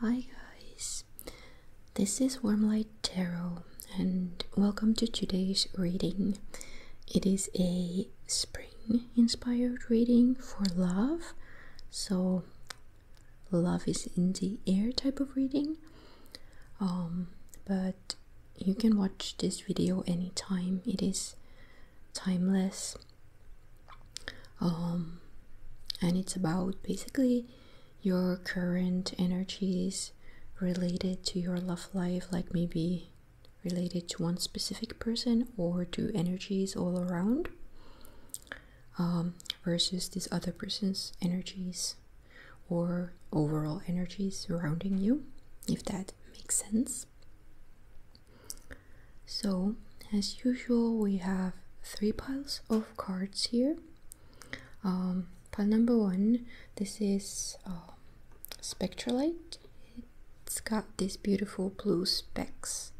Hi guys, this is Wormlight Tarot and welcome to today's reading. It is a spring inspired reading for love, so love is in the air type of reading. Um, but you can watch this video anytime, it is timeless um, and it's about basically your current energies related to your love life, like maybe related to one specific person or to energies all around, um, versus this other person's energies or overall energies surrounding you, if that makes sense. So, as usual, we have three piles of cards here. Um, pile number one, this is um, spectrolite. It's got these beautiful blue specks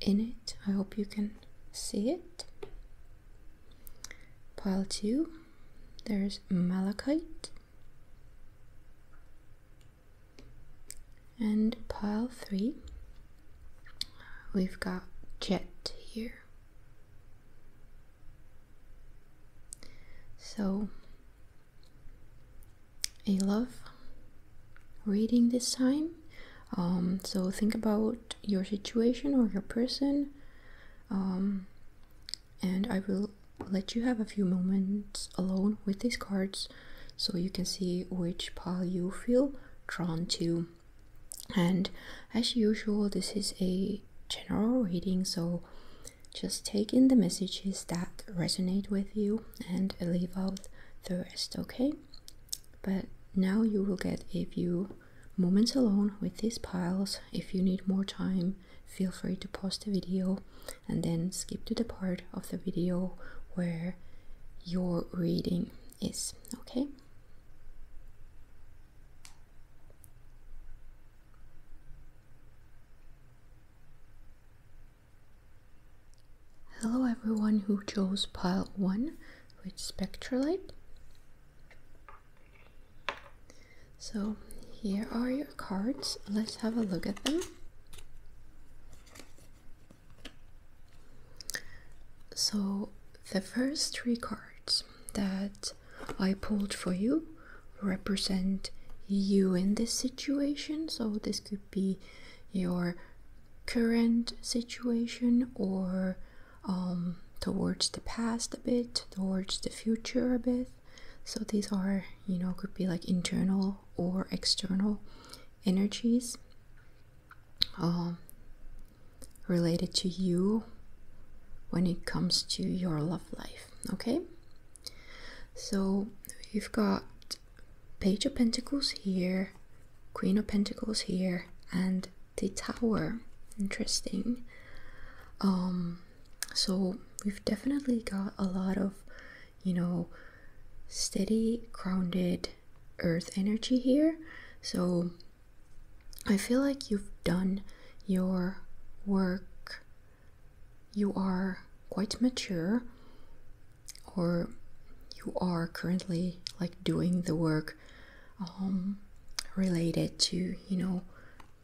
in it. I hope you can see it. Pile two, there's Malachite. And pile three, we've got jet here. So, I love reading this time. Um, so, think about your situation or your person. Um, and I will let you have a few moments alone with these cards so you can see which pile you feel drawn to and as usual this is a general reading so just take in the messages that resonate with you and leave out the rest okay but now you will get a few moments alone with these piles if you need more time feel free to pause the video and then skip to the part of the video where your reading is, okay? Hello everyone who chose pile 1 with Spectralite. So here are your cards. Let's have a look at them. So, the first three cards that I pulled for you represent you in this situation. So, this could be your current situation or um, towards the past a bit, towards the future a bit. So, these are, you know, could be like internal or external energies. Um, related to you when it comes to your love life. Okay, so you've got Page of Pentacles here, Queen of Pentacles here, and the Tower. Interesting. Um, so we've definitely got a lot of you know steady, grounded earth energy here. So I feel like you've done your work. You are quite mature, or you are currently like doing the work um, related to, you know,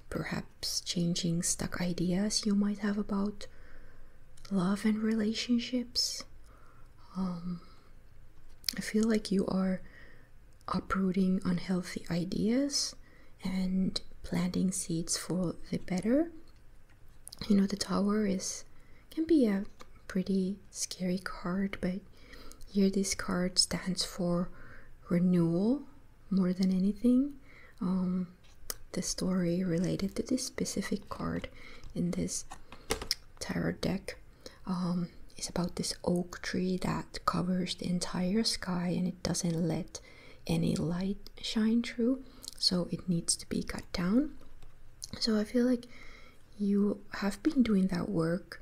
perhaps changing stuck ideas you might have about love and relationships. Um, I feel like you are uprooting unhealthy ideas and planting seeds for the better. You know, the tower is can be a pretty scary card, but here this card stands for renewal more than anything. Um, the story related to this specific card in this tarot deck um, is about this oak tree that covers the entire sky and it doesn't let any light shine through, so it needs to be cut down. So I feel like you have been doing that work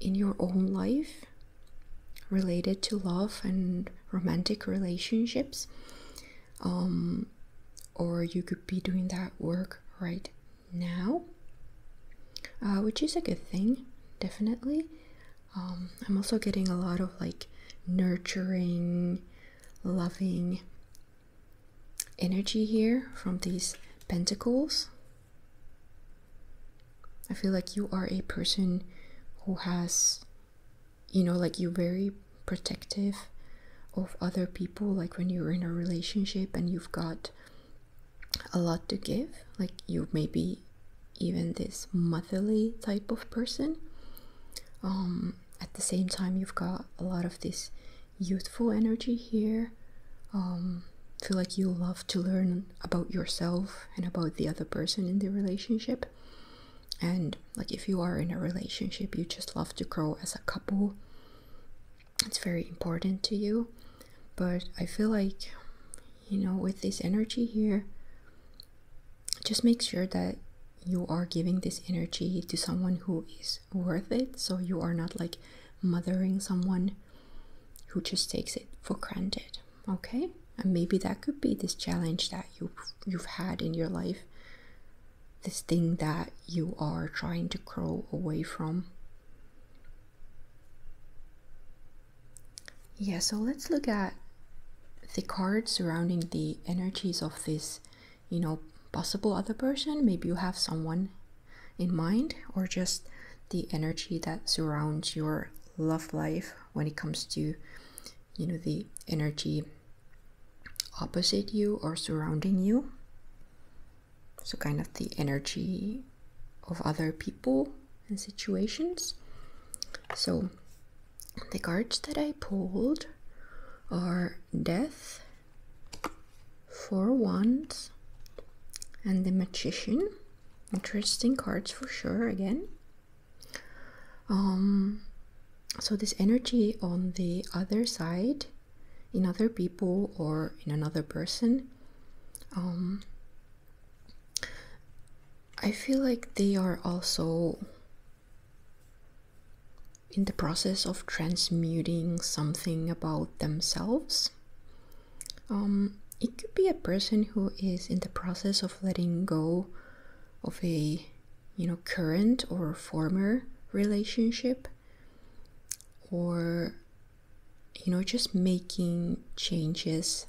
in your own life related to love and romantic relationships. Um, or you could be doing that work right now, uh, which is a good thing, definitely. Um, I'm also getting a lot of like nurturing, loving energy here from these pentacles. I feel like you are a person who has, you know, like you very protective of other people like when you're in a relationship and you've got a lot to give like you may be even this motherly type of person um, at the same time you've got a lot of this youthful energy here um, feel like you love to learn about yourself and about the other person in the relationship and like if you are in a relationship you just love to grow as a couple it's very important to you but i feel like you know with this energy here just make sure that you are giving this energy to someone who is worth it so you are not like mothering someone who just takes it for granted okay and maybe that could be this challenge that you you've had in your life this thing that you are trying to crawl away from. Yeah, so let's look at the cards surrounding the energies of this, you know, possible other person. Maybe you have someone in mind, or just the energy that surrounds your love life when it comes to, you know, the energy opposite you or surrounding you. So, kind of the energy of other people and situations. So, the cards that I pulled are Death, Four Wands, and the Magician. Interesting cards for sure, again. Um, so this energy on the other side in other people or in another person um, i feel like they are also in the process of transmuting something about themselves um, it could be a person who is in the process of letting go of a you know, current or former relationship, or, you know, just making changes,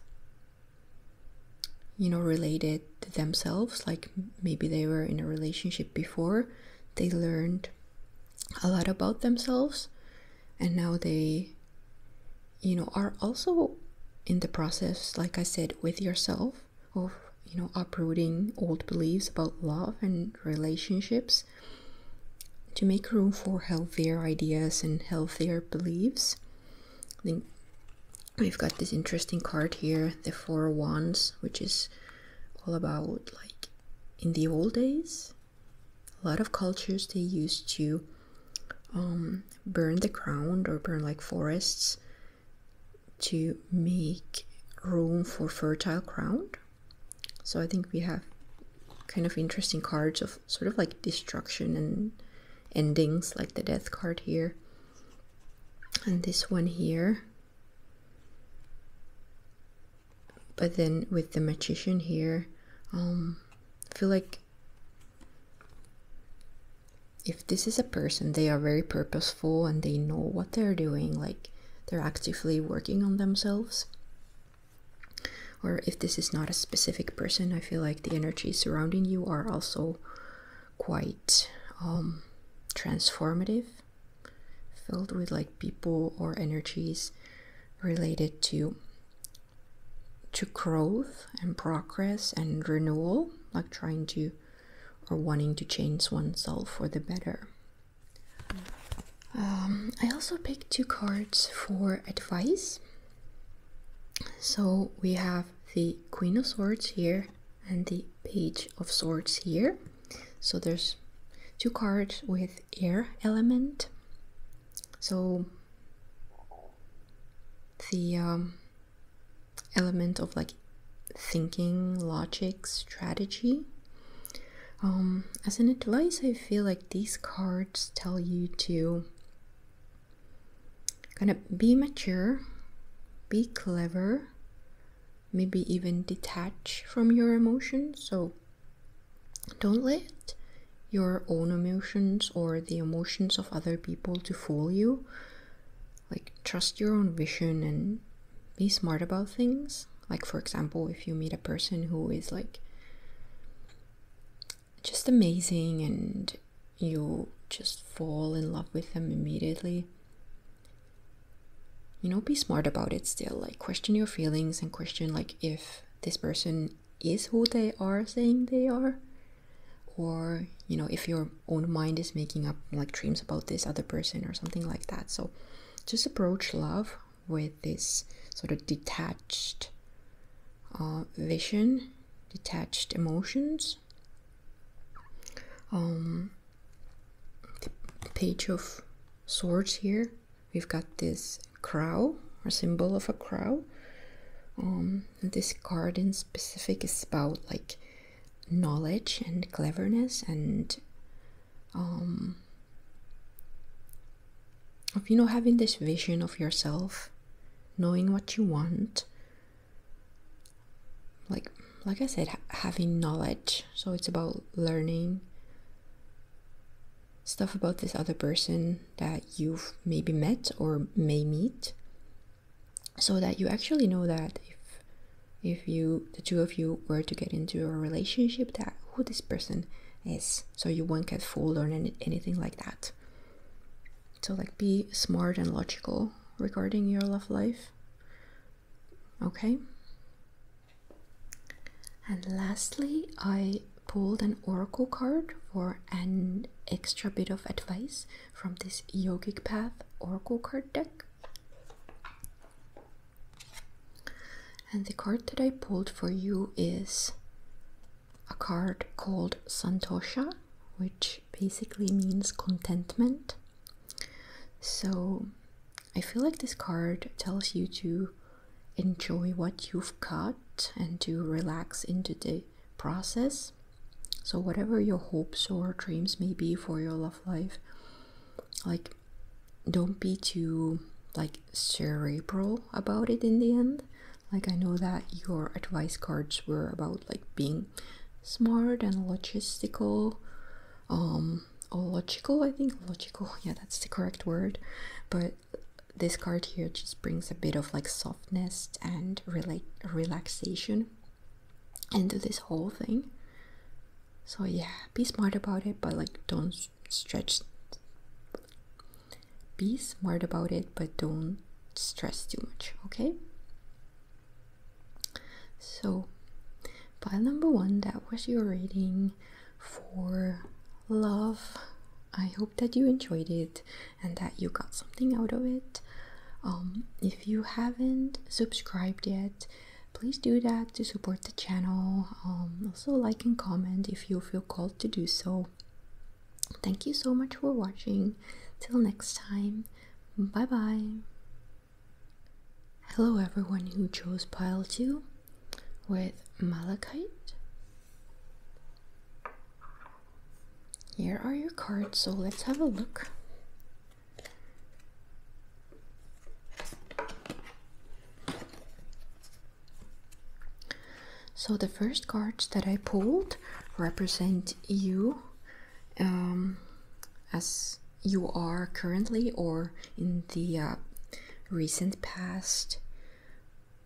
you know, related to themselves. Like maybe they were in a relationship before, they learned a lot about themselves, and now they, you know, are also in the process, like I said, with yourself of you know uprooting old beliefs about love and relationships to make room for healthier ideas and healthier beliefs i think we've got this interesting card here the four wands which is all about like in the old days a lot of cultures they used to um, burn the ground or burn like forests to make room for fertile ground. So I think we have kind of interesting cards of sort of like destruction and endings, like the death card here. And this one here. But then with the magician here, um, I feel like if this is a person, they are very purposeful and they know what they're doing, like they're actively working on themselves. Or if this is not a specific person, I feel like the energies surrounding you are also quite um, transformative, filled with like people or energies related to to growth and progress and renewal, like trying to or wanting to change oneself for the better. Um, I also picked two cards for advice. So we have the Queen of Swords here and the Page of Swords here. So there's two cards with air element. So the um, element of like thinking, logic, strategy. Um, as an advice, I feel like these cards tell you to kind of be mature, be clever, maybe even detach from your emotions. So don't let your own emotions or the emotions of other people to fool you like trust your own vision and be smart about things like for example if you meet a person who is like just amazing and you just fall in love with them immediately you know be smart about it still like question your feelings and question like if this person is who they are saying they are or you know if you're own mind is making up like dreams about this other person or something like that. So just approach love with this sort of detached uh, vision, detached emotions. Um, page of swords here, we've got this crow or symbol of a crow. Um, this card in specific is about like knowledge and cleverness and um, of you know having this vision of yourself knowing what you want like like i said having knowledge so it's about learning stuff about this other person that you've maybe met or may meet so that you actually know that if if you the two of you were to get into a relationship that who this person is so you won't get fooled or any, anything like that so like be smart and logical regarding your love life okay and lastly i pulled an oracle card for an extra bit of advice from this yogic path oracle card deck and the card that I pulled for you is a card called Santosha, which basically means contentment. So I feel like this card tells you to enjoy what you've got and to relax into the process. So, whatever your hopes or dreams may be for your life like don't be too like cerebral about it in the end like i know that your advice cards were about like being smart and logistical um or logical i think logical yeah that's the correct word but this card here just brings a bit of like softness and relate relaxation into this whole thing. So yeah, be smart about it, but like don't stretch. Be smart about it, but don't stress too much, okay? So, pile number one, that was your reading for love. I hope that you enjoyed it and that you got something out of it. Um, if you haven't subscribed yet, please do that to support the channel. Um, also, like and comment if you feel called to do so. Thank you so much for watching. Till next time, bye bye. Hello, everyone who chose pile 2 with Malachite. Here are your cards, so let's have a look. So the first cards that I pulled represent you um, as you are currently or in the uh, recent past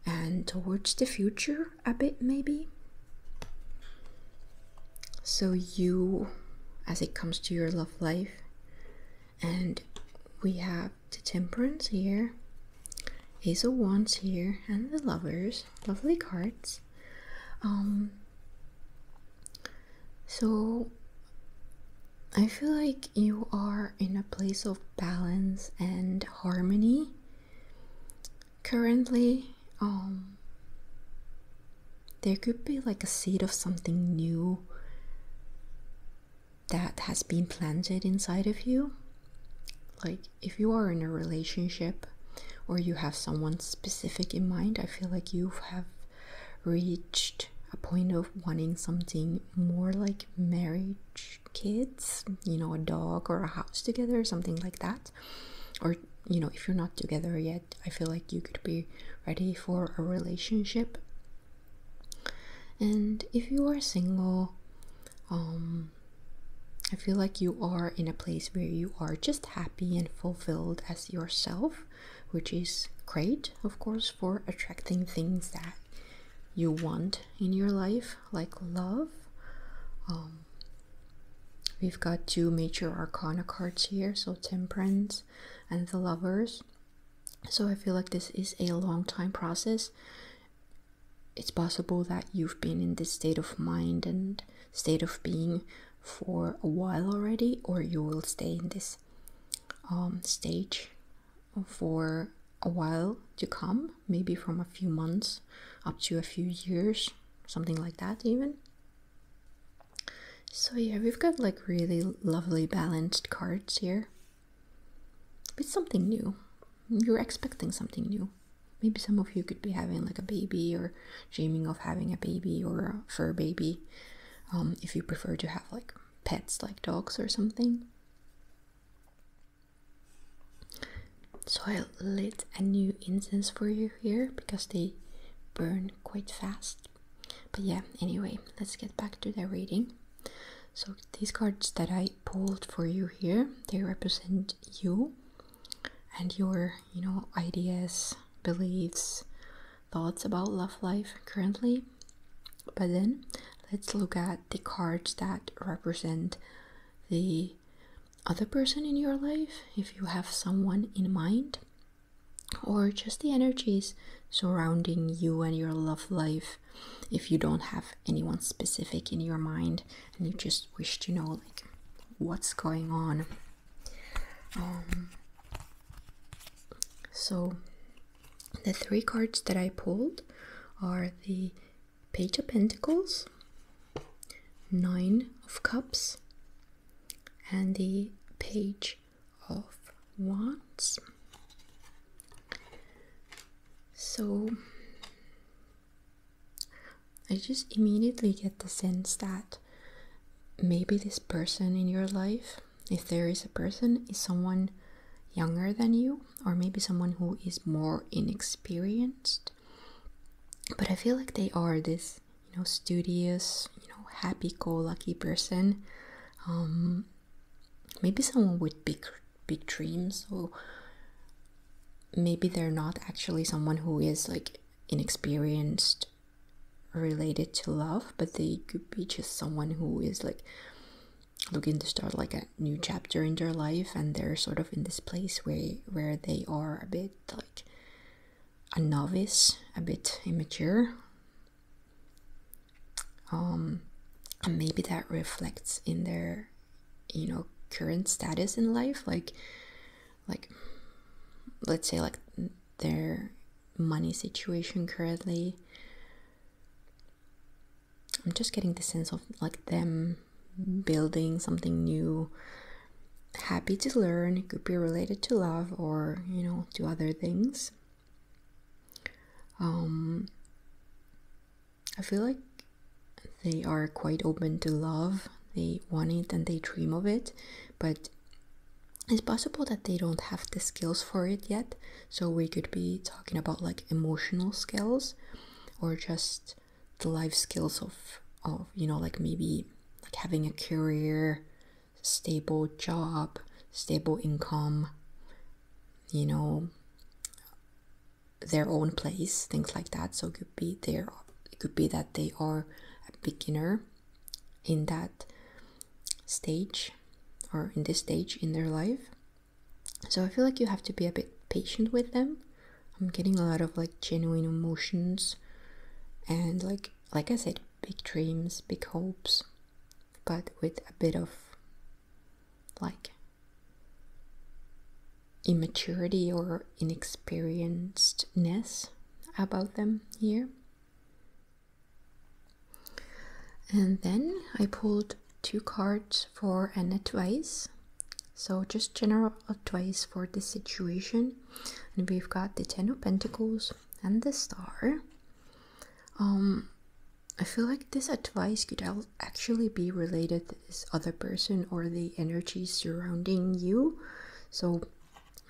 and towards the future a bit maybe so you as it comes to your love life and we have the temperance here ace of wands here and the lovers lovely cards um, so i feel like you are in a place of balance and harmony currently um there could be like a seed of something new that has been planted inside of you. Like if you are in a relationship or you have someone specific in mind, I feel like you have reached a point of wanting something more like marriage, kids, you know, a dog or a house together, something like that or you know if you're not together yet i feel like you could be ready for a relationship and if you are single um i feel like you are in a place where you are just happy and fulfilled as yourself which is great of course for attracting things that you want in your life like love um We've got two major arcana cards here, so Temperance and the Lovers. So I feel like this is a long time process. It's possible that you've been in this state of mind and state of being for a while already, or you will stay in this um, stage for a while to come, maybe from a few months up to a few years, something like that, even. So yeah, we've got like really lovely balanced cards here. It's something new. You're expecting something new. Maybe some of you could be having like a baby or dreaming of having a baby or for a baby. Um, if you prefer to have like pets like dogs or something. So I lit a new incense for you here because they burn quite fast. But yeah, anyway, let's get back to the reading. So these cards that I pulled for you here, they represent you and your, you know, ideas, beliefs, thoughts about love life currently. But then let's look at the cards that represent the other person in your life, if you have someone in mind, or just the energies surrounding you and your love life if you don't have anyone specific in your mind and you just wish to know like what's going on um, so the three cards that i pulled are the page of pentacles nine of cups and the page of wands so i just immediately get the sense that maybe this person in your life if there is a person is someone younger than you or maybe someone who is more inexperienced but i feel like they are this you know, studious, you know, happy-go-lucky person. Um, maybe someone with big, big dreams. So maybe they're not actually someone who is like inexperienced related to love, but they could be just someone who is like looking to start like a new chapter in their life and they're sort of in this place where where they are a bit like a novice, a bit immature. Um, and maybe that reflects in their, you know, current status in life. Like, like, let's say like their money situation currently. I'm just getting the sense of like them building something new, happy to learn could be related to love or you know to other things um i feel like they are quite open to love they want it and they dream of it but it's possible that they don't have the skills for it yet so we could be talking about like emotional skills or just the life skills of of you know like maybe like having a career, stable job, stable income, you know, their own place, things like that. So it could be their. it could be that they are a beginner in that stage or in this stage in their life. So I feel like you have to be a bit patient with them. I'm getting a lot of like genuine emotions and like like I said, big dreams, big hopes, but with a bit of like immaturity or inexperiencedness about them here. And then I pulled two cards for an advice. So just general more advice for this situation and we've got the ten of pentacles and the star um i feel like this advice could actually be related to this other person or the energy surrounding you so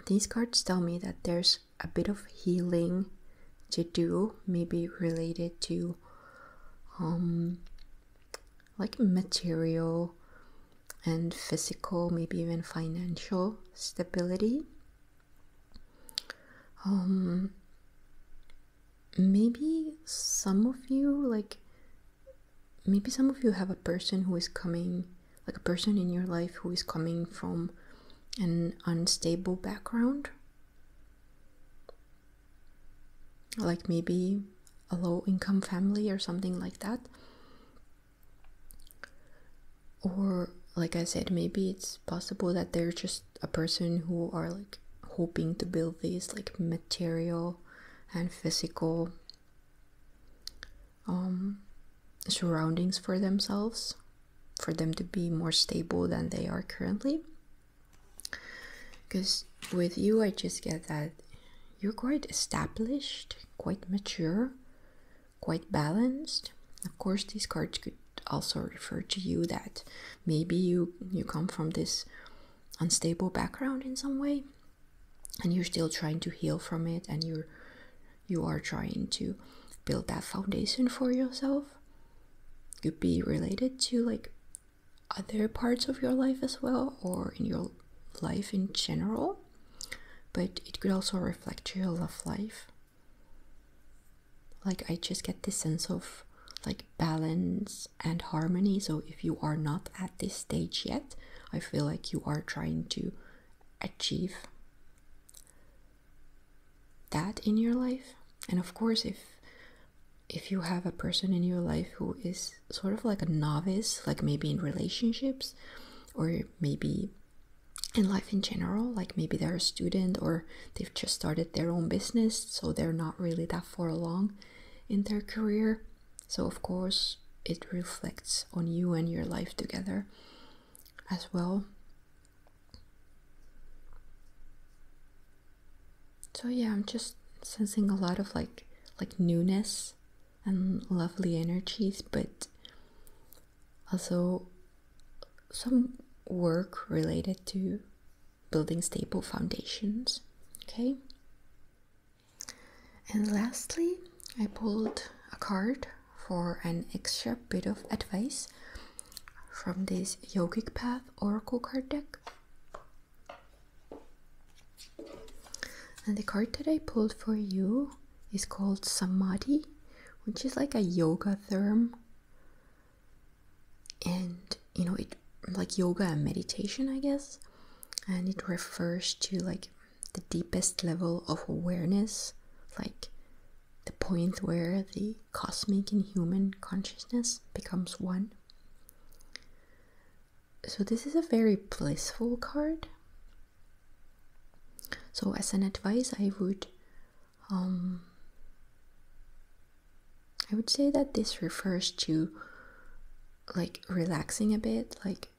these cards tell me that there's a bit of healing to do maybe related to um like material and physical, maybe even financial stability. Um, maybe some of you, like, maybe some of you have a person who is coming, like a person in your life who is coming from an unstable background. Like maybe a low income family or something like that or like i said maybe it's possible that they're just a person who are like hoping to build these like material and physical um surroundings for themselves for them to be more stable than they are currently because with you i just get that you're quite established quite mature quite balanced. Of course, these cards could also refer to you that maybe you you come from this unstable background in some way and you're still trying to heal from it and you're you are trying to build that foundation for yourself could be related to like other parts of your life as well or in your life in general but it could also reflect your love life. Like, I just get this sense of like balance and harmony. So, if you are not at this stage yet, I feel like you are trying to achieve that in your life. And of course, if if you have a person in your life who is sort of like a novice, like maybe in relationships or maybe in life in general, like maybe they're a student or they've just started their own business, so they're not really that far along in their career. So, of course, it reflects on you and your life together as well. So, yeah, I'm just sensing a lot of like like newness and lovely energies, but also some work related to building stable foundations. Okay. And lastly, I pulled a card for an extra bit of advice from this yogic path oracle card deck and the card that I pulled for you is called Samadhi, which is like a yoga term. And you know, it like yoga and meditation, I guess. And it refers to like the deepest level of awareness, like the point where the cosmic and human consciousness becomes one so this is a very blissful card. So as an advice, I would um, I would say that this refers to like relaxing a bit, like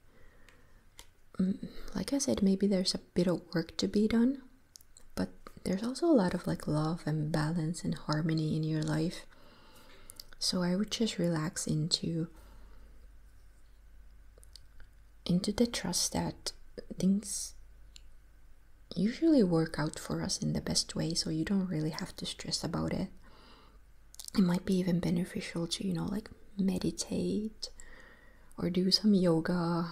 mm, like I said, maybe there's a bit of work to be done, but there's also a lot of like love and balance and harmony in your life. So I would just relax into into the trust that things usually work out for us in the best way so you don't really have to stress about it it might be even beneficial to you know like meditate or do some yoga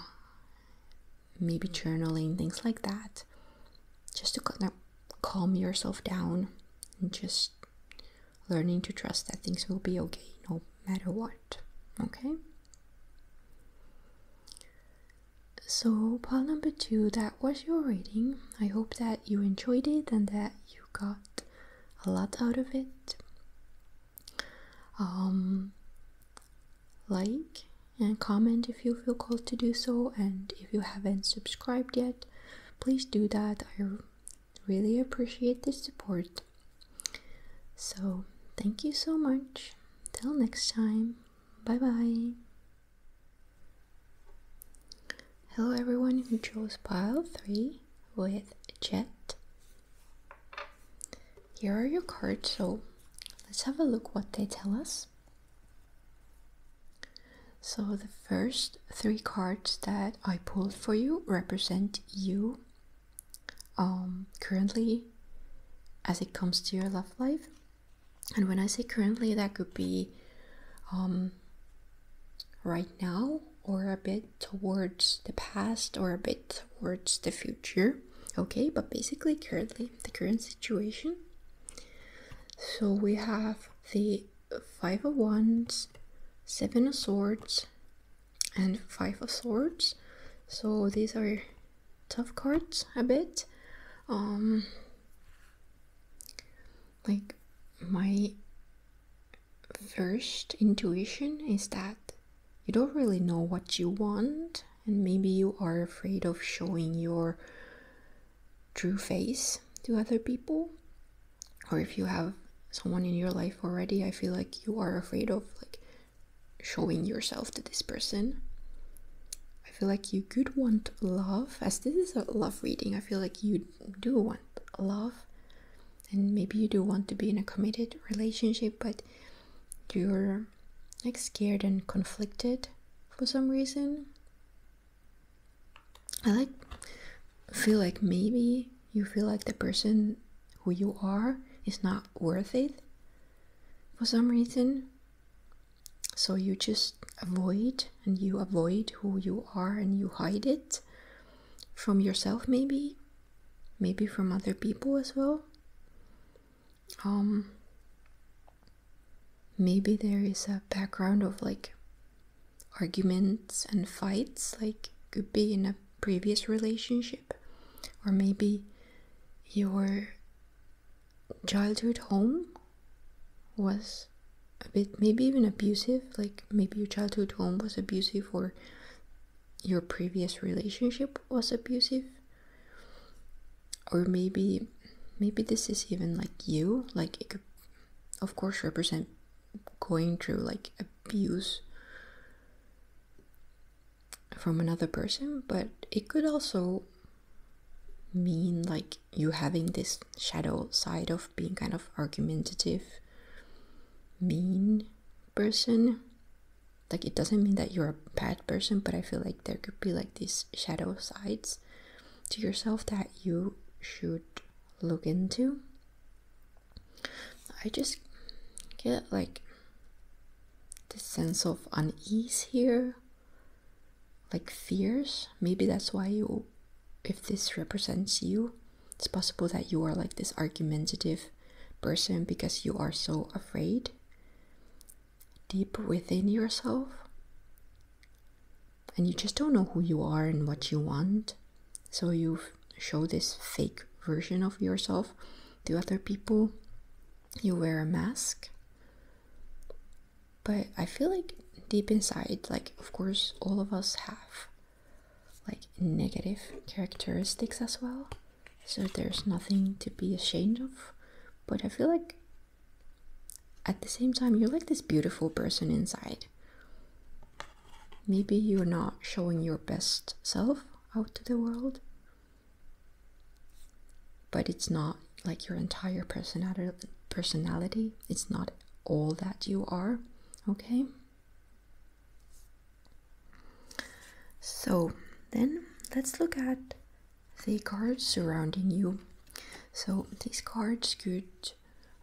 maybe journaling things like that just to kind of calm yourself down and just learning to trust that things will be okay no matter what. Okay? So, part number two, that was your reading. I hope that you enjoyed it and that you got a lot out of it. Um, like and comment if you feel called to do so, and if you haven't subscribed yet, please do that. I really appreciate the support. So, thank you so much. Till next time, bye bye. Hello, everyone who chose pile 3 with Jet. Here are your cards, so let's have a look what they tell us. So, the first three cards that I pulled for you represent you um, currently as it comes to your love life. And when I say currently, that could be um, right now or a bit towards the past or a bit towards the future. Okay, but basically, currently, the current situation. So we have the five of wands seven of swords and five of swords so these are tough cards a bit um, like my first intuition is that you don't really know what you want and maybe you are afraid of showing your true face to other people or if you have someone in your life already, I feel like you are afraid of like showing yourself to this person. I feel like you could want love, as this is a love reading. I feel like you do want love, and maybe you do want to be in a committed relationship, but you're like scared and conflicted for some reason. I like feel like maybe you feel like the person who you are is not worth it for some reason. So you just avoid and you avoid who you are and you hide it from yourself maybe maybe from other people as well um maybe there is a background of like arguments and fights like could be in a previous relationship or maybe your childhood home was a bit maybe even abusive like maybe your childhood home was abusive or your previous relationship was abusive or maybe maybe this is even like you like it could of course represent going through like abuse from another person, but it could also mean like you having this shadow side of being kind of argumentative, mean person. Like it doesn't mean that you're a bad person, but I feel like there could be like these shadow sides to yourself that you should look into. I just get like this sense of unease here, like fears. Maybe that's why you, if this represents you, it's possible that you are like this argumentative person because you are so afraid deep within yourself and you just don't know who you are and what you want. So you show this fake version of yourself to other people. You wear a mask. But I feel like deep inside, like, of course, all of us have like negative characteristics as well. So there's nothing to be ashamed of. But I feel like at the same time, you're like this beautiful person inside. Maybe you're not showing your best self out to the world, but it's not like your entire personality. Personality, it's not all that you are, okay? So then let's look at the cards surrounding you. So these cards could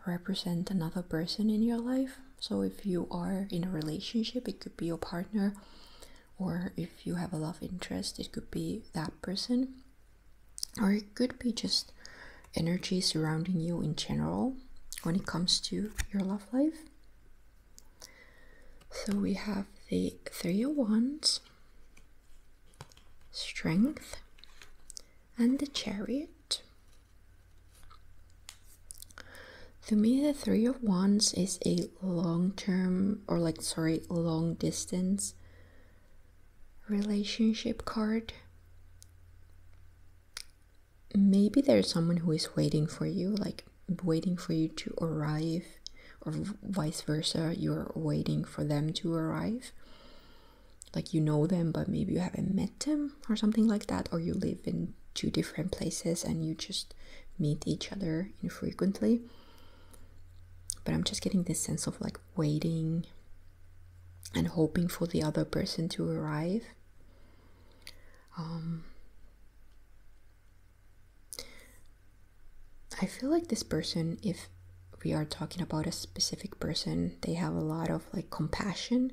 represent another person in your life. So if you are in a relationship, it could be your partner, or if you have a love interest, it could be that person, or it could be just energy surrounding you in general when it comes to your love life. So we have the Three of Wands, Strength, and the Chariot. To me, the Three of Wands is a long term or, like, sorry, long distance relationship card. Maybe there's someone who is waiting for you, like, waiting for you to arrive, or vice versa, you're waiting for them to arrive like you know them but maybe you haven't met them or something like that or you live in two different places and you just meet each other infrequently but i'm just getting this sense of like waiting and hoping for the other person to arrive um, i feel like this person if we are talking about a specific person they have a lot of like compassion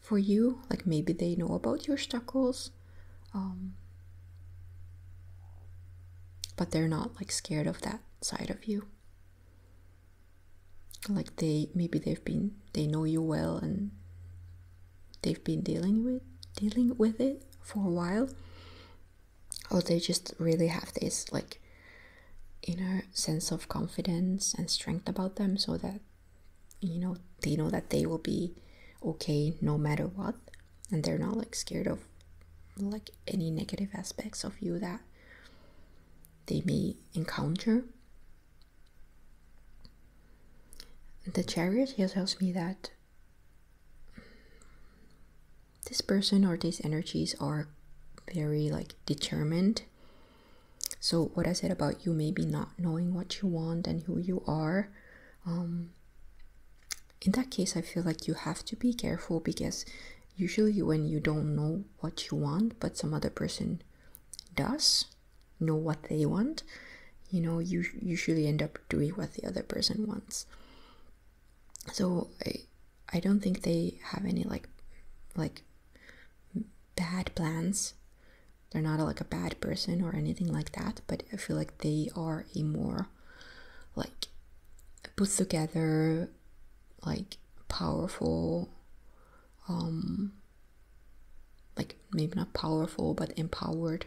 for you like maybe they know about your stock um, but they're not like scared of that side of you like they maybe they've been they know you well and they've been dealing with dealing with it for a while or they just really have this like inner sense of confidence and strength about them so that you know they know that they will be okay no matter what and they're not like scared of like any negative aspects of you that they may encounter the chariot here tells me that this person or these energies are very like determined so, what I said about you maybe not knowing what you want and who you are, um, in that case, I feel like you have to be careful because usually when you don't know what you want, but some other person does know what they want, you know, you usually end up doing what the other person wants. So I, I don't think they have any like, like bad plans. They're not like a bad person or anything like that, but I feel like they are a more like puts together, like powerful, um, like maybe not powerful but empowered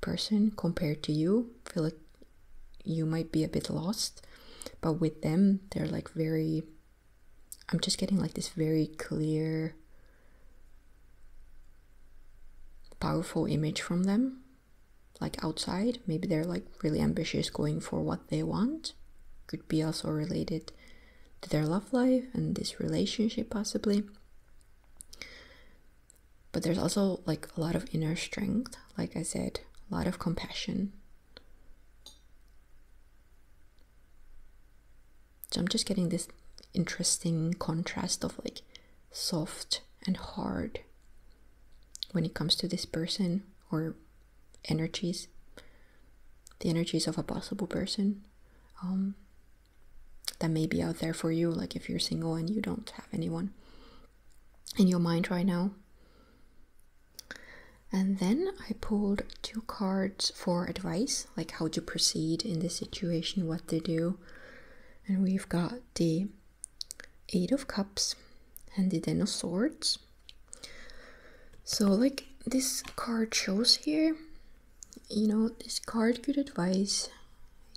person compared to you. feel like you might be a bit lost, but with them, they're like very I'm just getting like this very clear, powerful image from them. Like outside, maybe they're like really ambitious, going for what they want. Could be also related to their love life and this relationship, possibly. But there's also like a lot of inner strength, like I said, a lot of compassion, so I'm just getting this interesting contrast of like soft and hard when it comes to this person or energies, the energies of a possible person um, that may be out there for you, like if you're single and you don't have anyone in your mind right now. And then I pulled two cards for advice, like how to proceed in this situation, what to do. And we've got the Eight of Cups and the Ten of Swords. So, like this card shows here, you know, this card could advise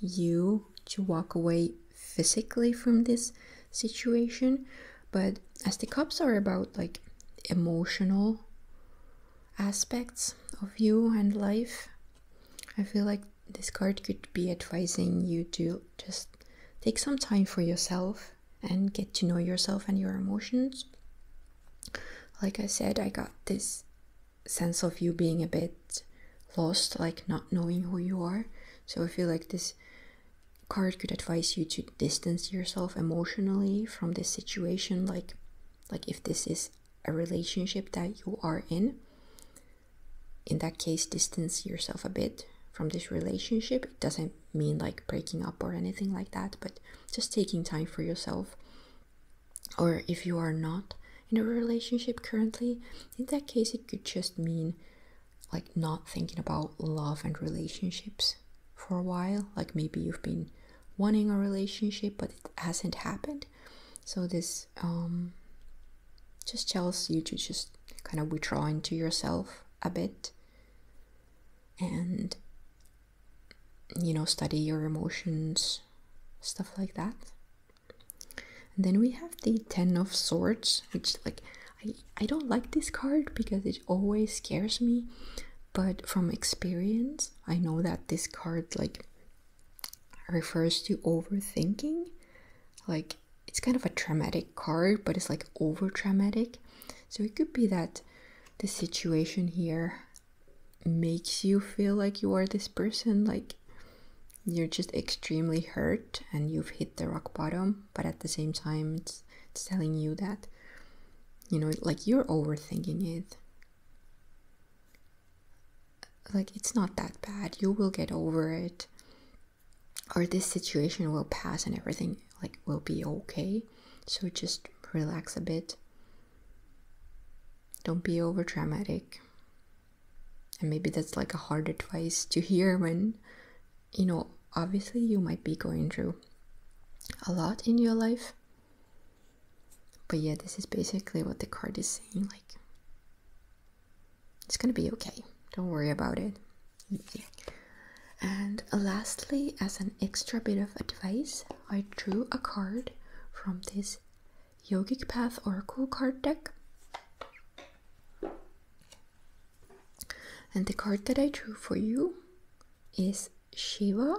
you to walk away physically from this situation but as the cups are about like emotional aspects of you and life, I feel like this card could be advising you to just take some time for yourself and get to know yourself and your emotions. Like I said, I got this sense of you being a bit lost, like not knowing who you are. So I feel like this card could advise you to distance yourself emotionally from this situation like like if this is a relationship that you are in in that case distance yourself a bit from this relationship it doesn't mean like breaking up or anything like that but just taking time for yourself or if you are not in a relationship currently in that case it could just mean like not thinking about love and relationships for a while, like maybe you've been wanting a relationship but it hasn't happened. So this um, just tells you to just kind of withdraw into yourself a bit and you know study your emotions stuff like that and then we have the ten of swords which like i i don't like this card because it always scares me but from experience i know that this card like refers to overthinking like it's kind of a traumatic card but it's like over traumatic so it could be that the situation here makes you feel like you are this person like you're just extremely hurt and you've hit the rock bottom but at the same time it's telling you that you know like you're overthinking it like it's not that bad you will get over it or this situation will pass and everything like will be okay so just relax a bit don't be over dramatic and maybe that's like a hard advice to hear when you know, obviously you might be going through a lot in your life. But yeah, this is basically what the card is saying like, it's gonna be okay, don't worry about it. And lastly, as an extra bit of advice, I drew a card from this Yogic Path Oracle card deck. And the card that I drew for you is Shiva,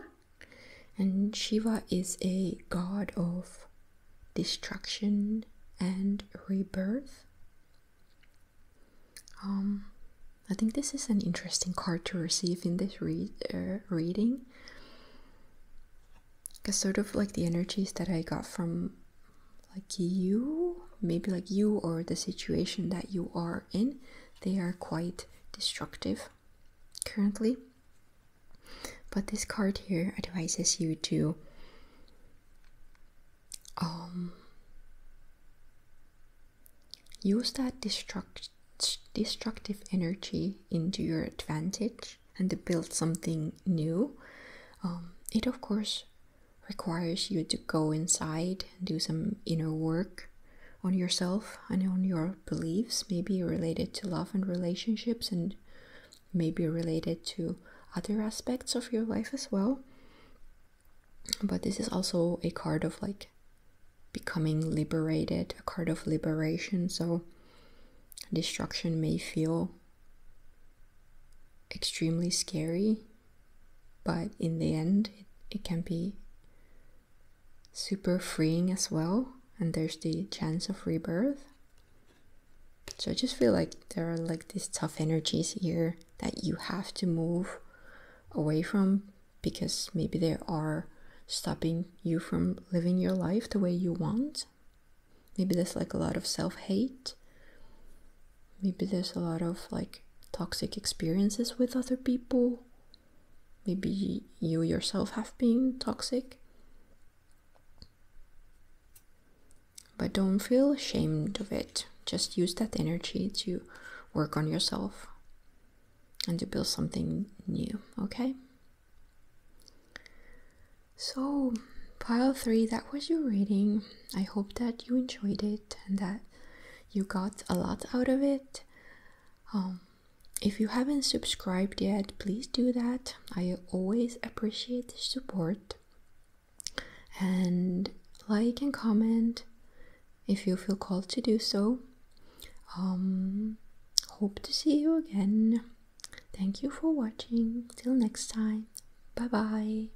and Shiva is a god of destruction and rebirth. Um, I think this is an interesting card to receive in this read, uh, reading. Because sort of like the energies that I got from like you, maybe like you or the situation that you are in, they are quite destructive currently. But this card here advises you to um, use that destructive energy into your advantage and to build something new. Um, it of course requires you to go inside and do some inner work on yourself and on your beliefs, maybe related to love and relationships, and maybe related to other aspects of your life as well. But this is also a card of like becoming liberated, a card of liberation. So destruction may feel extremely scary but in the end, it, can be super freeing as well. And there's the chance of rebirth. So I just feel like there are like these tough energies here that you have to move away from because maybe they are stopping you from living your life the way you want. Maybe there's like a lot of self hate Maybe there's a lot of like toxic experiences with other people. Maybe you yourself have been toxic. But don't feel ashamed of it. Just use that energy to work on yourself and to build something new, okay? So, pile three, that was your reading. I hope that you enjoyed it and that you got a lot out of it. Um, if you haven't subscribed yet, please do that. I always appreciate the support. And like and comment if you feel called to do so. Um, hope to see you again. Thank you for watching. Till next time. Bye bye.